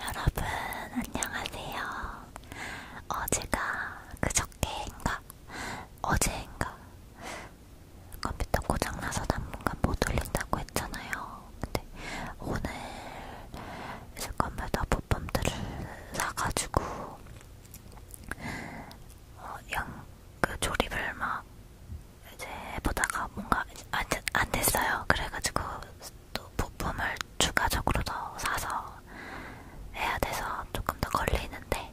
여러분 안녕하세요. 어제가 그저께인가 어제인가 컴퓨터 고장나서 당분간 못 올린다고 했잖아요. 근데 오늘 이제 컴퓨터 부품들을 사가지고 어, 영그 조립을 막 이제 해보다가 뭔가 안, 안 됐어요. 그래가지고 또 부품을 추가적으로 더 사서 해야 돼서 조금 더 걸리는데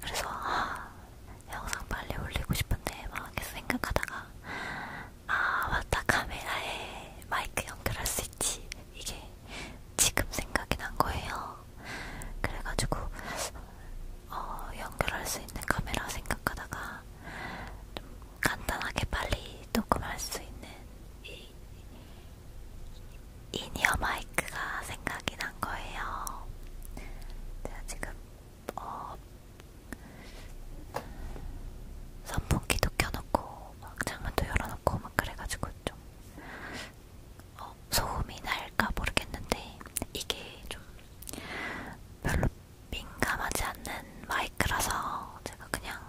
그래서 아, 영상 빨리 올리고 싶은데 막 생각하다가 아 맞다 카메라에 마이크 연결할 수 있지 이게 지금 생각이 난 거예요. 그래가지고 어, 연결할 수 있는 카메라 생각하다가 좀 간단하게 빨리 녹음할 수 있는 이 인이어 마이크가 생각이 난 거예요. 제가 지금 어, 선풍기도 켜놓고 막 창문도 열어놓고 막 그래가지고 좀 어, 소음이 날까 모르겠는데 이게 좀 별로 민감하지 않는 마이크라서 제가 그냥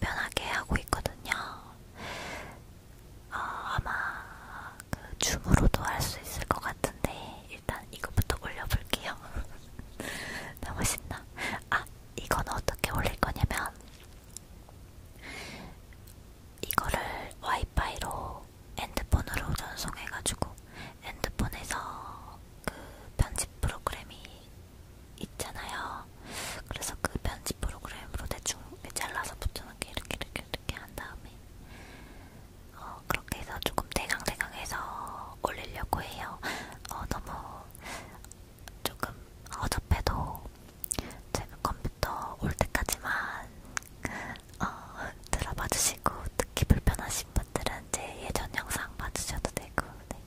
편하게 하고 있거든요. 어, 아마 그 줌으로도 할 수 있을 것 같은데 일단 이거부터 올려볼게요. 너무 신나. 아 이건 어떻게 올릴 거냐면 이거를 와이파이로 핸드폰으로 전송해가지고 핸드폰에서 그 편집 프로그램이 있잖아요. 그래서 그 편집 프로그램으로 대충 잘라서 붙여놓은 게 이렇게 이렇게 이렇게 한 다음에 어, 그렇게 해서 조금 대강대강해서 올리려고 해요. 어, 너무 조금 어접해도 제가 컴퓨터 올 때까지만 어, 들어봐 주시고 듣기 불편하신 분들은 제 예전 영상 봐주셔도 되고 네.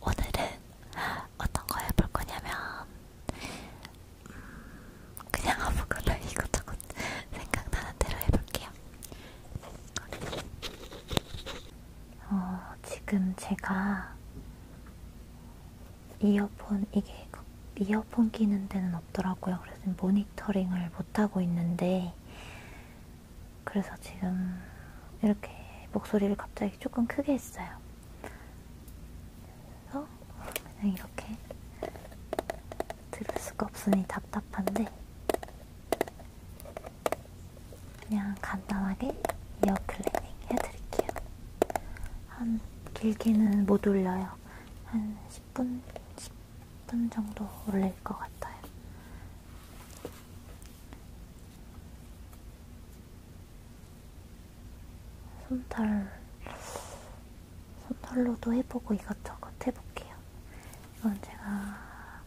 오늘은 어떤 거 해볼 거냐면 음, 그냥 아무거나 이것저것 생각나는 대로 해볼게요. 어, 지금 제가 이어폰 이게 이어폰 끼는 데는 없더라고요. 그래서 모니터링을 못 하고 있는데 그래서 지금 이렇게 목소리를 갑자기 조금 크게 했어요. 그래서 그냥 이렇게 들을 수가 없으니 답답한데 그냥 간단하게 이어 클리닝 해드릴게요. 한 길게는 못 올려요. 한 10분, 10분 정도 올릴 것 같아요. 손털 손털로도 해보고 이것저것 해볼게요. 이건 제가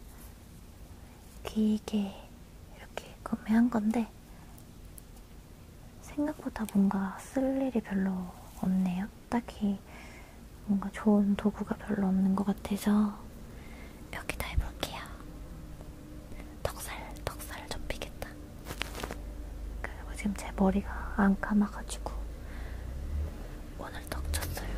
길게 이렇게 구매한 건데 생각보다 뭔가 쓸 일이 별로 없네요. 딱히 뭔가 좋은 도구가 별로 없는 것 같아서 여기다 해볼게요. 턱살, 턱살 좀 피겠다. 그리고 지금 제 머리가 안 감아가지고 오늘 턱 쳤어요.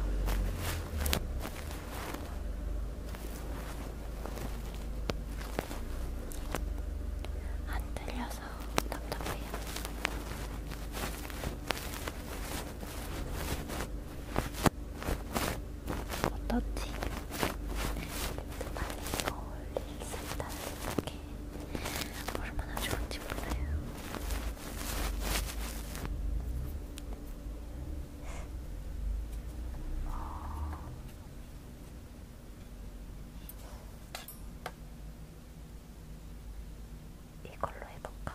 안 들려서 답답해요. 어떻지? 빨리 어울릴 수 있다는 생각에 얼마나 좋은지 몰라요. 어... 뭐, 이걸로 해볼까?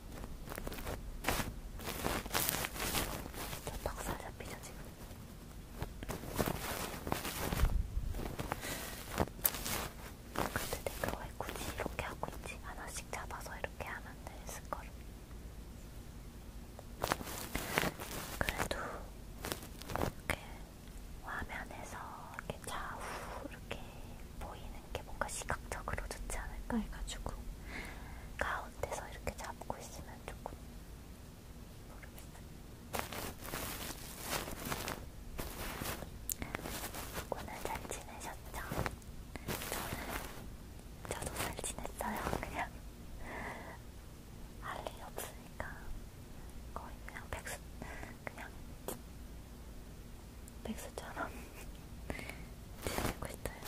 저 박사 잡히죠 지금. 근데 내가 왜 굳이 이렇게 하고 있지? 하나씩 잡아서 이렇게 하면 됐을 걸. 그래도 이렇게 화면에서 이렇게 좌우 이렇게 보이는 하는 게 뭔가 시각적으로 좋지 않을까 해가지고 가운데서 이렇게 잡고 있으면 조금 모르겠어요. 오늘 잘 지내셨죠? 저는 저도 잘 지냈어요. 그냥 할 일 없으니까 거의 그냥 백수 그냥. 백수처럼 지내고 있어요.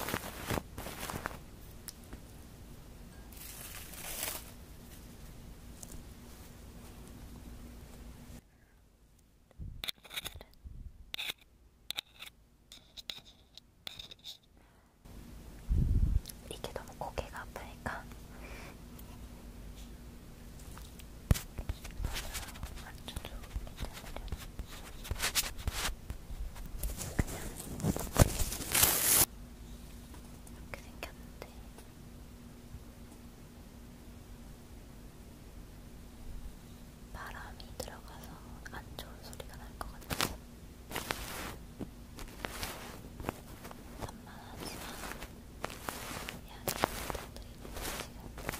이게 너무 고개가 아프니까 완전 좋은 인사드렸어. 이렇게 생겼는데. 바람이 들어가서 안 좋은 소리가 날 것 같아서 산만하지만 양해를 부탁드립니다. 지금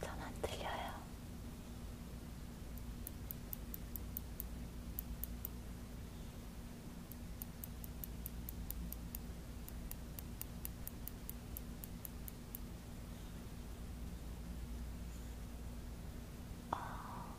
전안 들려요. 어,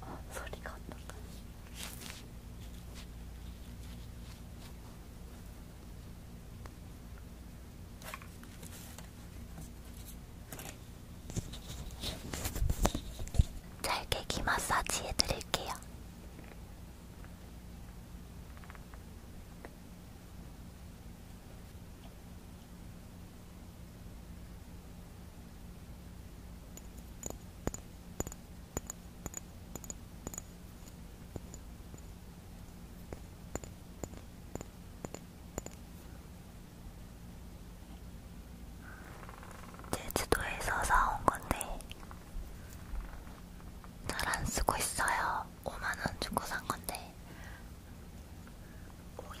어, 소리가 어떤가요? 잘깨기 마사지 해드릴게요. 제주도에서 사온 건데 잘 안 쓰고 있어요. 5만원 주고 산 건데 오일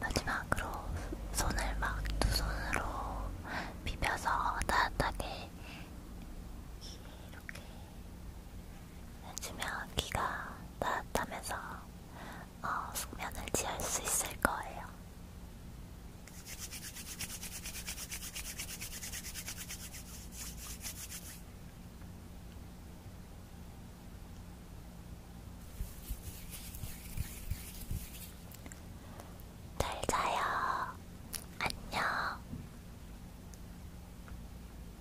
마지막으로 손을 막 두 손으로 비벼서 따뜻하게 이렇게 주면 귀가 따뜻하면서 어, 숙면을 취할 수 있을 거예요. 잘 자요. 안녕.